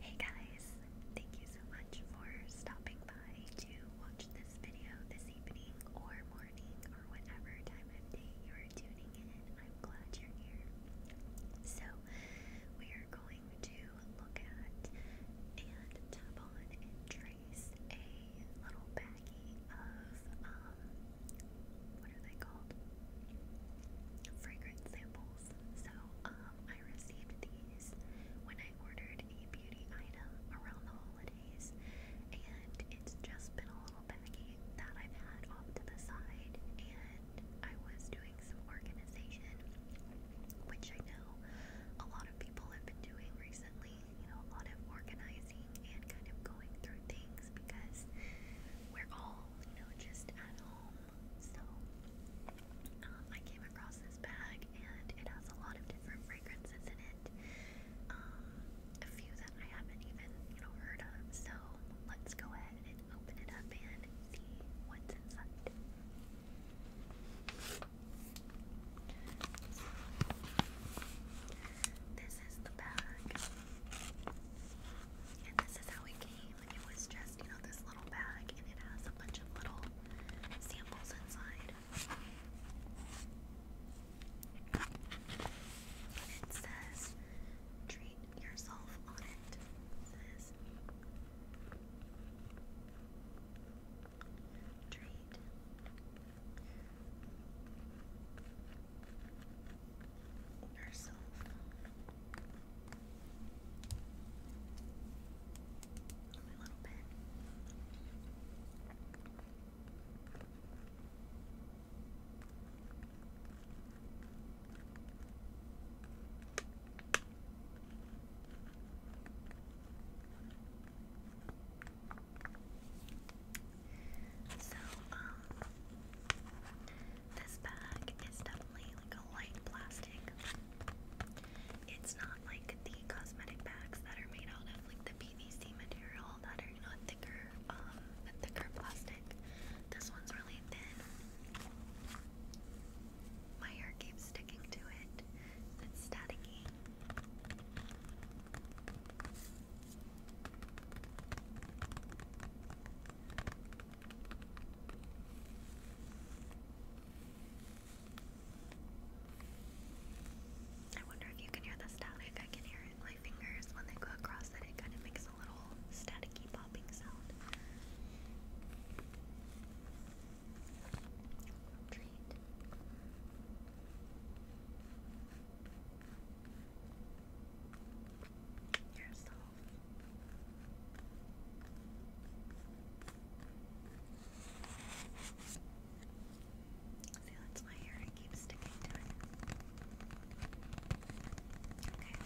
Hey guys, thank you so much for stopping by to watch this video this evening or morning or whatever time of day you're tuning in. I'm glad you're here. So, we are going to look at and tap on and trace a little baggie of, um, what are they called? Fragrance samples. So, um, I received these when I ordered a beauty item around the holidays, and it's just been a little baggie that I've had off to the side. And I was doing some organization, which I know a lot of people have been doing recently, you know, a lot of organizing and kind of going through things because we're all, you know, just at home. So, I came across this bag and it has a lot of different fragrances in it. Um, a few that I haven't even, heard of. So let's go ahead and open it up and see what's inside. this is the bag. And this is how it came. It was just just, you know, this little bag and it has a bunch of little samples inside. it says, treat yourself on It says, treat. Yourself only a So, um, this bag is definitely like a light plastic, it's not like the cosmetic bags that are made out of like the PVC material that are you thicker, um, thicker plastic. This one's really thin. My hair keeps sticking to it. It's staticky. I wonder if you can hear the static. I can hear it my fingers when they go across it. It kind of makes a little staticky popping sound. Treat. You're See, that's my It keeps sticking to Okay.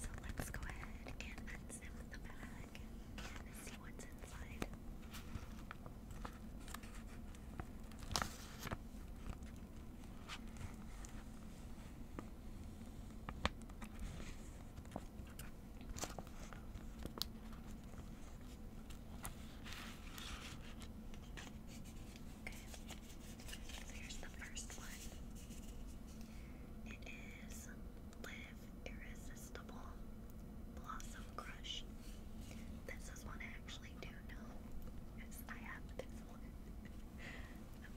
So let's go ahead and unzip the bag and see what's inside here's the first one. It is Live Irresistible Blossom Crush. This is one I actually do know. Yes, I have this one.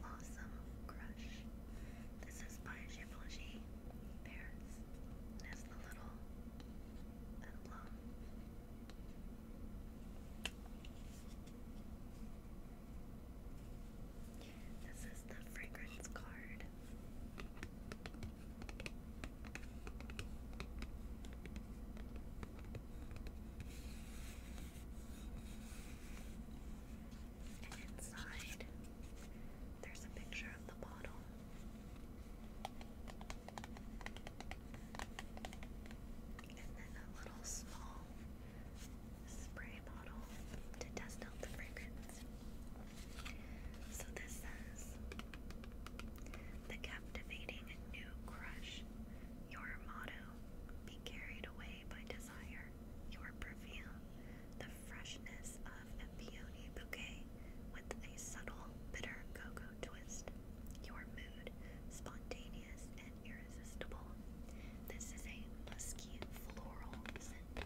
Blossom Crush. This is by Givenchy. Paris. There's the little emblem. This is the fragrance card. And inside, there's a picture of the bottle. And then a little small spray bottle to test out the fragrance. So this says The captivating new crush, your motto, be carried away by desire your perfume the freshness of a peony bouquet with a subtle bitter cocoa twist. Your mood, spontaneous and irresistible. This is a musky floral scent.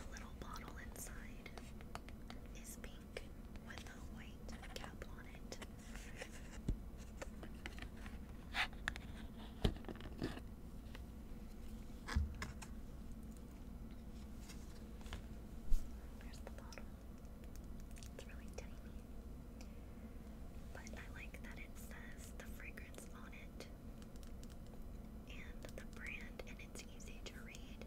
The little bottle inside is pink with a white cap on it. There's the bottle. It's really tiny. But I like that it says the fragrance on it and the brand, and it's easy to read.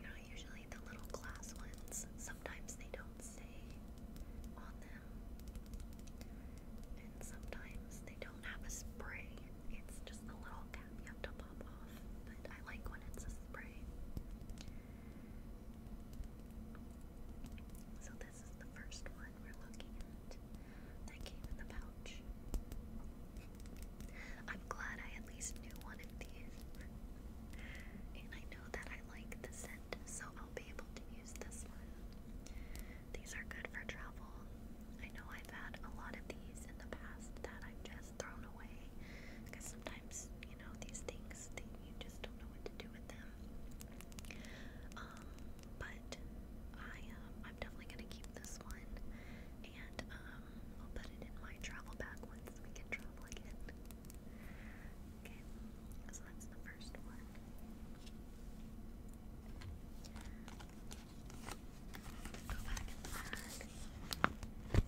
You usually the little glass ones. Sometimes they don't stay on them, and sometimes they don't have a spray. It's just a little cap you have to pop off, I like when it's a spray. So this is the first one we're looking at that came in the pouch. I'm glad I at least knew one of these. And I know that I like the scent, so I'll be able to use this one. These are good for travel. I know I've had a lot of these in the past that I've just thrown away because sometimes, you know, these things that you just don't know what to do with them. Um, but I um, I'm definitely gonna keep this one, and um, I'll put it in my travel bag once we can travel again. Okay, so that's the first one. Go back in the bag. And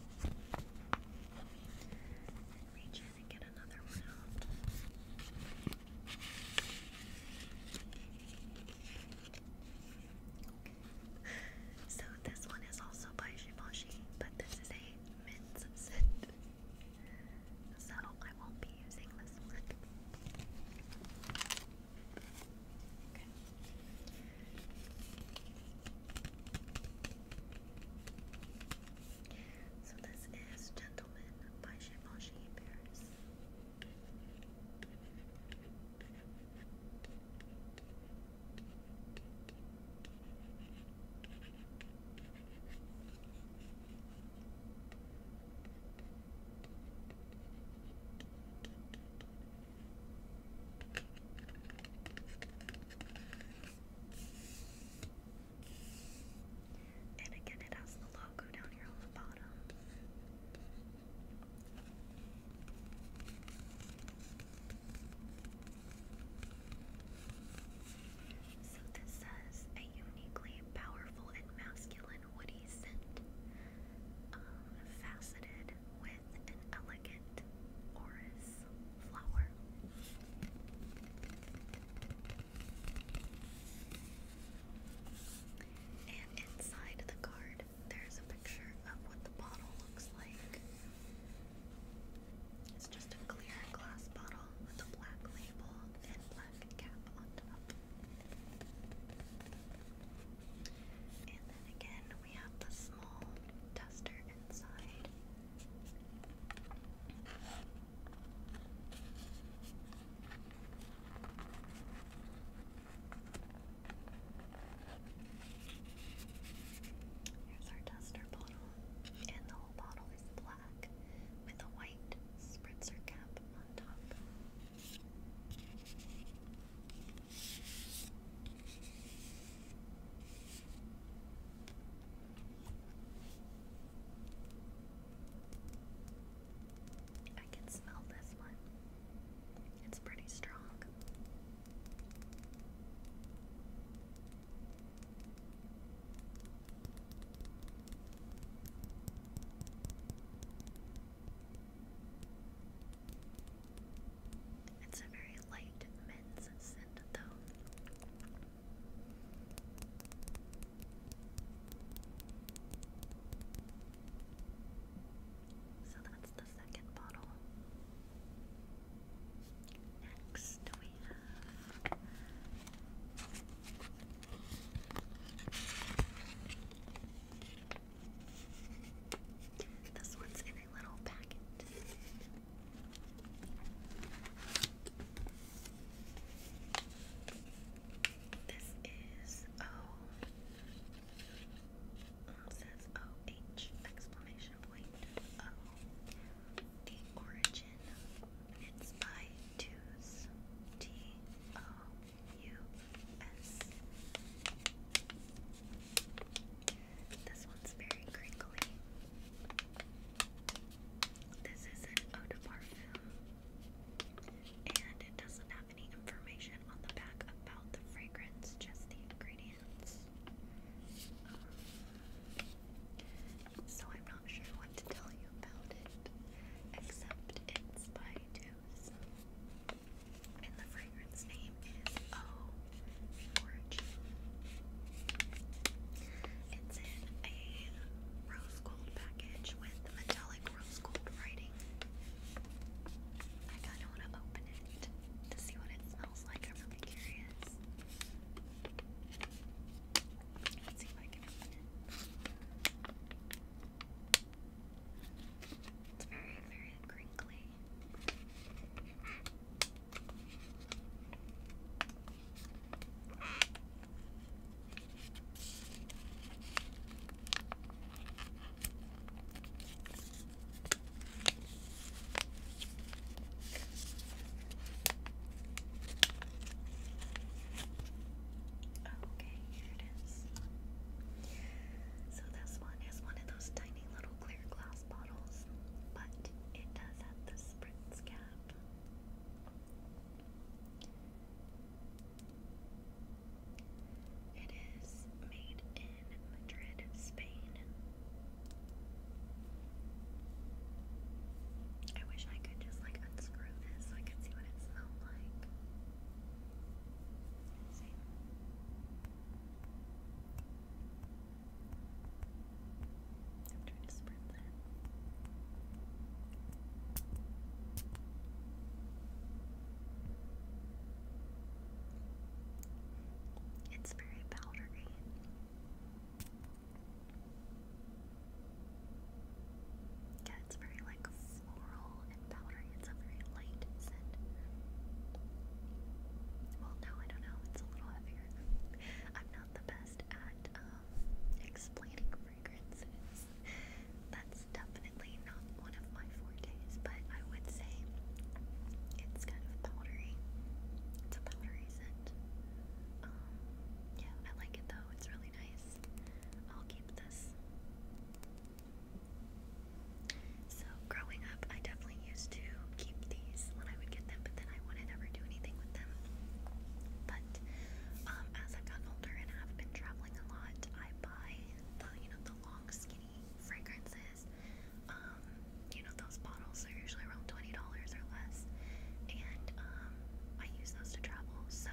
reach in and get another one out. So this one is also by Shiboshi, but this is a mints scent. So I won't be using this one. So this is Gentleman by Givenchy Paris. And again, it has the logo down here on the bottom. So this says a uniquely powerful and masculine woody scent, um, faceted with an elegant orris flower. And inside the card, there's a picture of what the bottle looks like. It's just a clear glass bottle with a black label and black cap on top. And then again, we have the small duster inside. Here's our duster bottle and the whole bottle is black with a white spritzer cap on top. I can smell this one. It's pretty strong. It's a very light men's scent, though. So that's the second bottle. Next, we have this one's in a little packet. This is O. says O H exclamation point O. The origin, it's by This one's very crinkly. This is eau de parfum, and it doesn't have any information on the back about the fragrance, just the ingredients so I'm not sure what to tell you about it, except it's by Deuce. And the fragrance name is Oh Fortune. It's in a rose gold package with metallic rose gold writing. I kind of want to open it to see what it smells like. I'm really curious. Let's see if I can open it. It's very, very crinkly. Okay, here it is. So this one is one of those tiny little clear glass bottles, but it does have the spritz cap. It is made in Madrid, Spain. I wish I could just like unscrew this so I could see what it smelled like. see. I'm trying to spread that. It's very powdery. Yeah, it's very like floral and powdery. It's a very light scent. Well, no, I don't know. It's a little heavier. I'm not the best at um, explaining fragrances. That's definitely not one of my fortes, but I would say it's kind of powdery. It's a powdery scent. Um, yeah, I like it though. It's really nice. I'll keep this. So growing up, I definitely used to keep these when I would get them, but then I wouldn't do anything with them. But um, as I've gotten older and have been traveling a lot, I buy the you know the long skinny fragrances. Um, you know, those bottles are usually around $20 or less, and um, I use those to travel. So,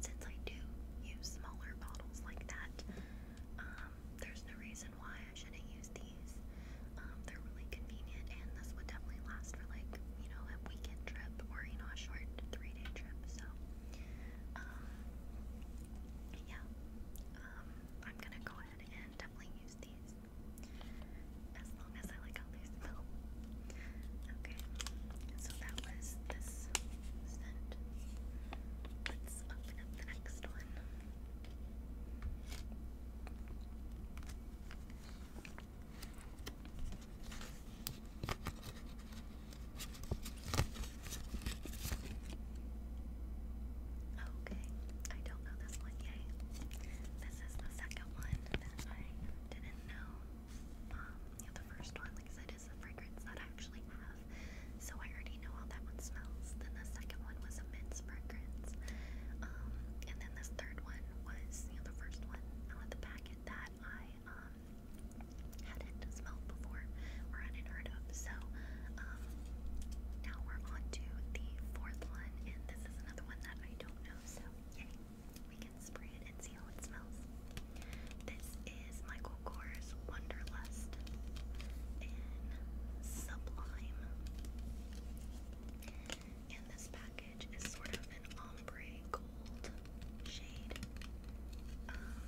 since I do use smaller bottles like that, um, there's no reason why I shouldn't use these. Um, they're really convenient, and this would definitely last for like, you know, a weekend trip or, you know, a short three day trip. So, um, yeah, um, I'm gonna go ahead and definitely use these. As long as I like how they smell. Okay, so that was this scent. Let's open up the next one. Okay, I don't know this one yet this is the second one that I didn't know. Um, yeah, the first one, like I said, is a fragrance that I actually have, so I already know how that one smells. Then the second one was a mince fragrance, um, and then this third one was, you know, the first one out of the packet that I um hadn't smelled before or hadn't heard of. So um, now we're on to the fourth one, and this is another one that I don't know, so yay. We can spray it and see how it smells. This is Michael Kors Wonderlust in Sublime. And this package is sort of an ombre gold shade. Um,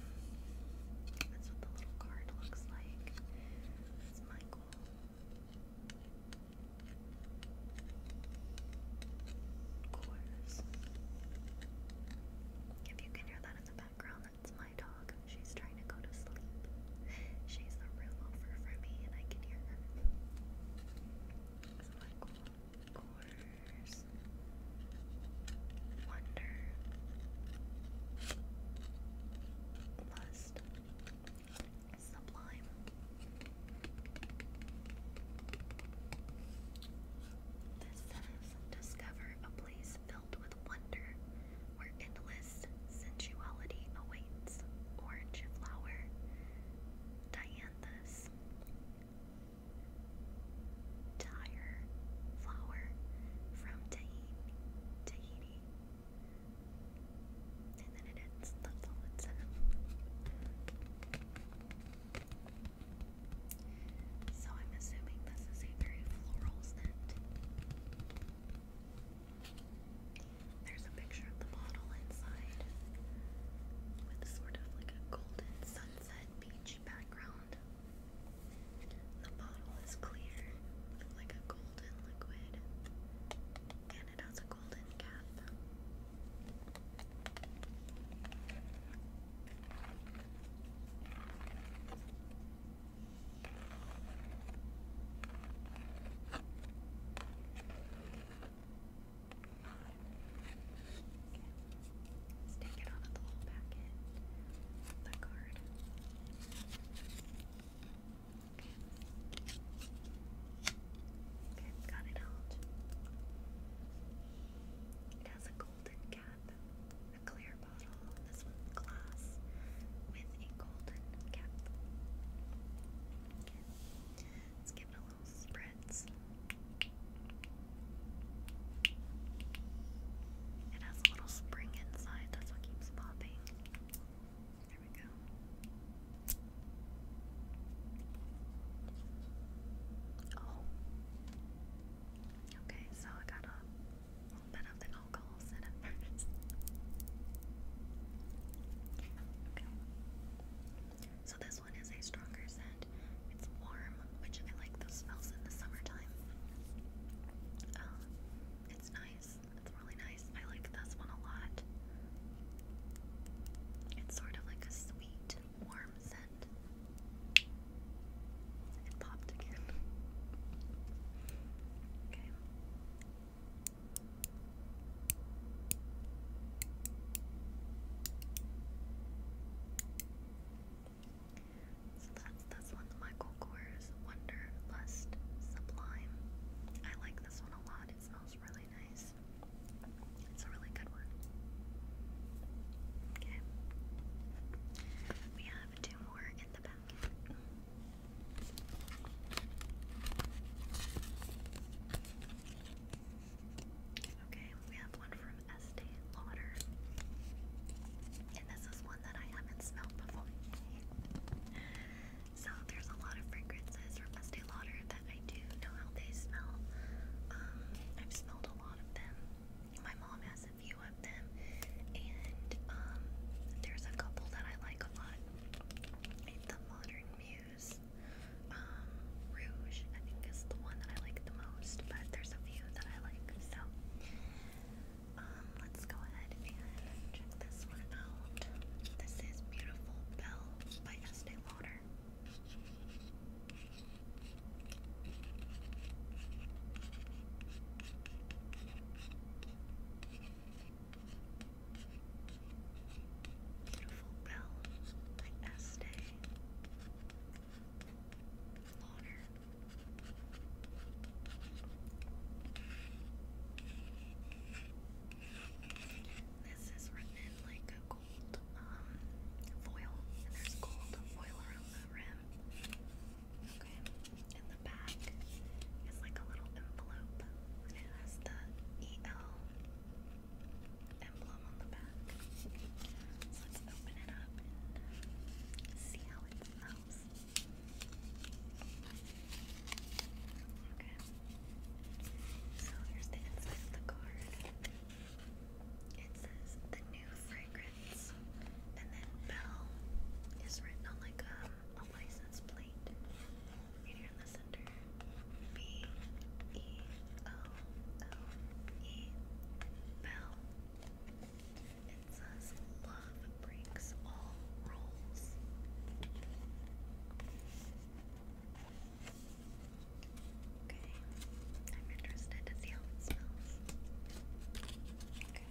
that's what the little card looks like. It's Michael course. If you can hear that in the background, that's my dog. She's trying to go to sleep. She's the room over for me, and I can hear her. Of course. Wonder. Lust discover a place filled with wonder where endless sensuality awaits. Orange flower. Dianthus. Tire flower from Tahiti. Tahiti. And then So I'm assuming this is a very floral scent. There's a picture of the bottle inside with sort of like a golden sunset beach background. The bottle is clear, like a golden liquid, and it take it out of the little packet, the card. Okay, got it out. It has a golden cap, a clear bottle, this one's glass, with a golden cap. let's give it a little spritz. It has a little spring inside, that's what keeps popping. There we go. Oh. Okay, so I got a bit of the alcohol set Okay. So this one is a stronger scent. It's warm, which I like those smells in the summertime. Um, it's nice. That's really nice. I like this one a lot. It's sort of like a sweet, warm scent. It popped again. Okay. So that's this one, Michael Kors Wonderlust Sublime. I like this one a lot. It smells really it's a really good one. Okay. We have two more in the packet. Okay, we have one from Estee Lauder. And this is one that I haven't smelled before. So there's a lot of fragrances from Estee Lauder that I do know how they smell. Um, I've smelled a lot of them. My mom has a few of them, and um, there's a couple that I like a lot. The Modern Muse um, Rouge, I think, is the one that I like the most. But there's a few that I like. So um, let's go ahead and check this one out. This is Beautiful Bell by Estee Lauder. Beautiful Bell by Estee Lauder. This is written in like gold um, foil, there's gold foil around the rim. Okay, and the back is like a little envelope, and it has the EL emblem on the back. let's open it up and see how it smells. Okay. So here's the inside of the card. It says the new fragrance, and then Bell is written on like a license plate. Right here in the center. B E O O E Bell. It says love breaks all rules. Okay, I'm interested to see how it smells. Okay.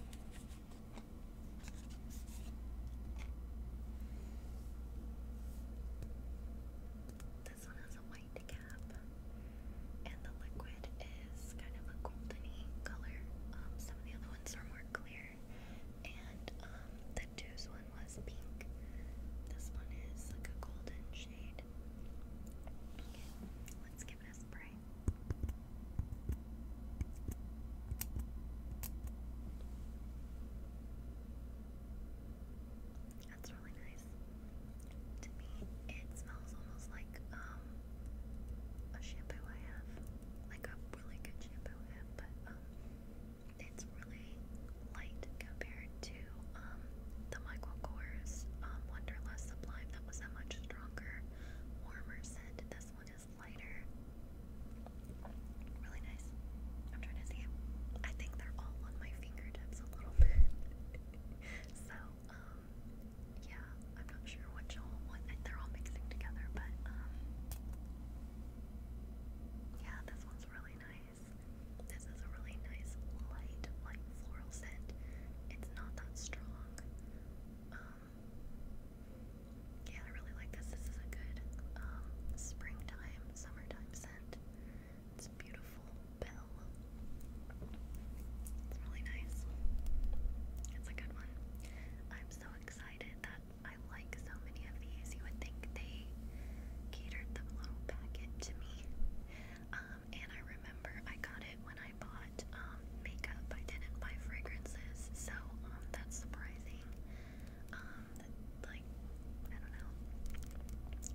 This one has a white cap, and the liquid is kind of a goldeny color. Um, some of the other ones are more clear. And um, the Deuce one was pink. This one is like a golden shade. let's give it a spray. That's really nice. To me, it smells almost like um a shampoo I have, like a really good shampoo it's really light compared to um, the Michael Kors um, Wonderlust Sublime. That was a much stronger, warmer scent. This one is lighter. Really nice. I'm trying to see I think they're all on my fingertips a little bit. so, um, yeah, I'm not sure which all, what, they're all mixing together, but, um, yeah, this one's really nice. This is a really nice light, like floral scent. It's not that strong. Um, yeah, I really like this. This is a good um, springtime, summertime scent. It's beautiful It's really nice. It's a good one. I'm so excited that I like so many of these. You would think they catered the little packet to me. Um, and I remember I got it when I bought um, makeup. I didn't buy fragrances, so um, that's surprising. like, I don't know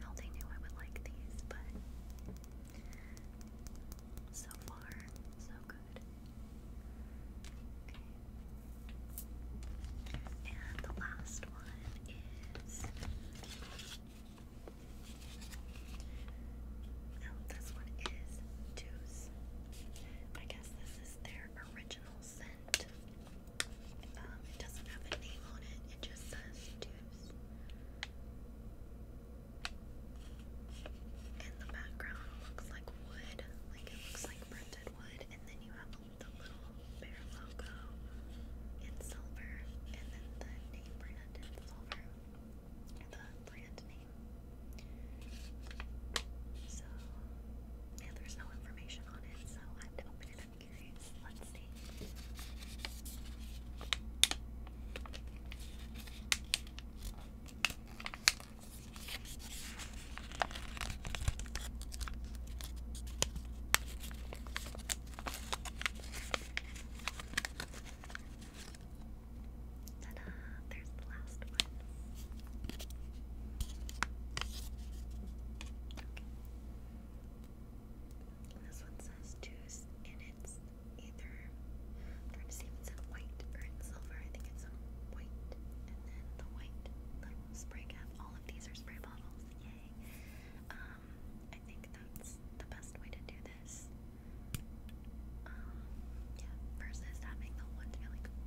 how they knew I would like these, but so far, so good. And the last one is. Oh, this one is Deuce. I guess this is their original scent. Um, it doesn't have a name on it, it just says Deuce. And the background looks like wood, like it looks like printed wood, and then you have the little bear logo in silver, and then the name brand in silver, the brand name. So, yeah, there's no information on it, so I have open it. curious. Let's see. Ta-da! There's the last one. This one says juice, and either trying to see if it's white or in silver. I think it's in white, and then the white little spray cap. All of these are spray yay. Um, I think that's the best way to do this. Um, yeah, versus having the one to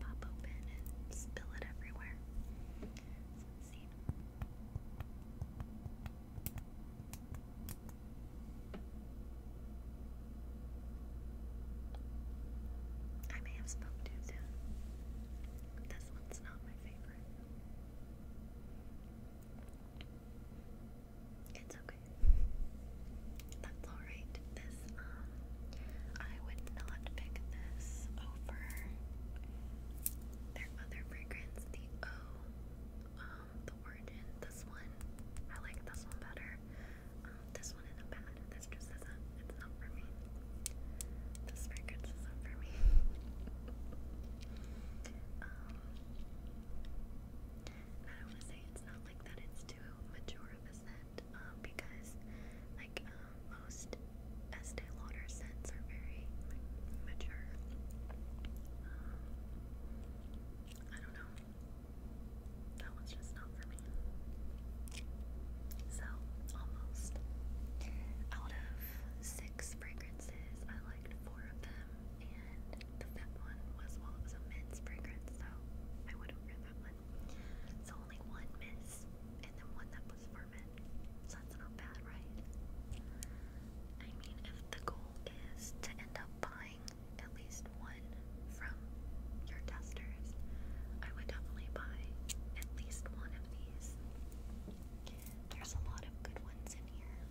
pop open and spill it everywhere. I may have spoke too This one's not my It's okay. That's alright. This, um, I would not pick this over their other fragrance, the O, um, the Origin. This one, I like this one better. Um, this one isn't bad this just isn't, it's not for me. This record's isn't for me. Um, I don't want to say it's not like that it's too mature of a scent, um, because, like, um, most Estee Lauder scents are very, mature. I don't know. That one's just not for me. So, almost. Out of six fragrances, I liked four of them, and the fifth one was, well, it was a men's fragrance, so I went over that one. So, only one miss, and then one that was for men. that's not bad, right? I mean, if the goal is to end up buying at least one from your testers, I would definitely buy at least one of there's a lot of good ones in here.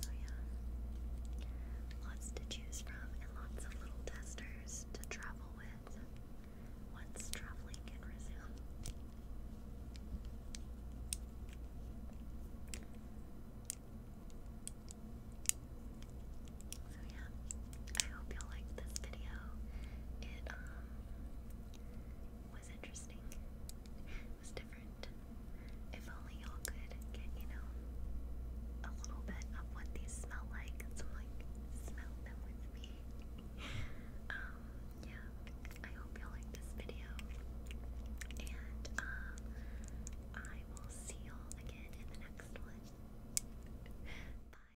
So, yeah. Lots to choose from and lots of little testers to travel with once traveling can resume. So yeah, I hope you liked this video. It um was interesting. It was different. If only y'all could get, you know, a little bit of what these smell like. So like smell them with me. um, yeah. I hope y'all this video. And um I will see y'all again in the next one. Bye.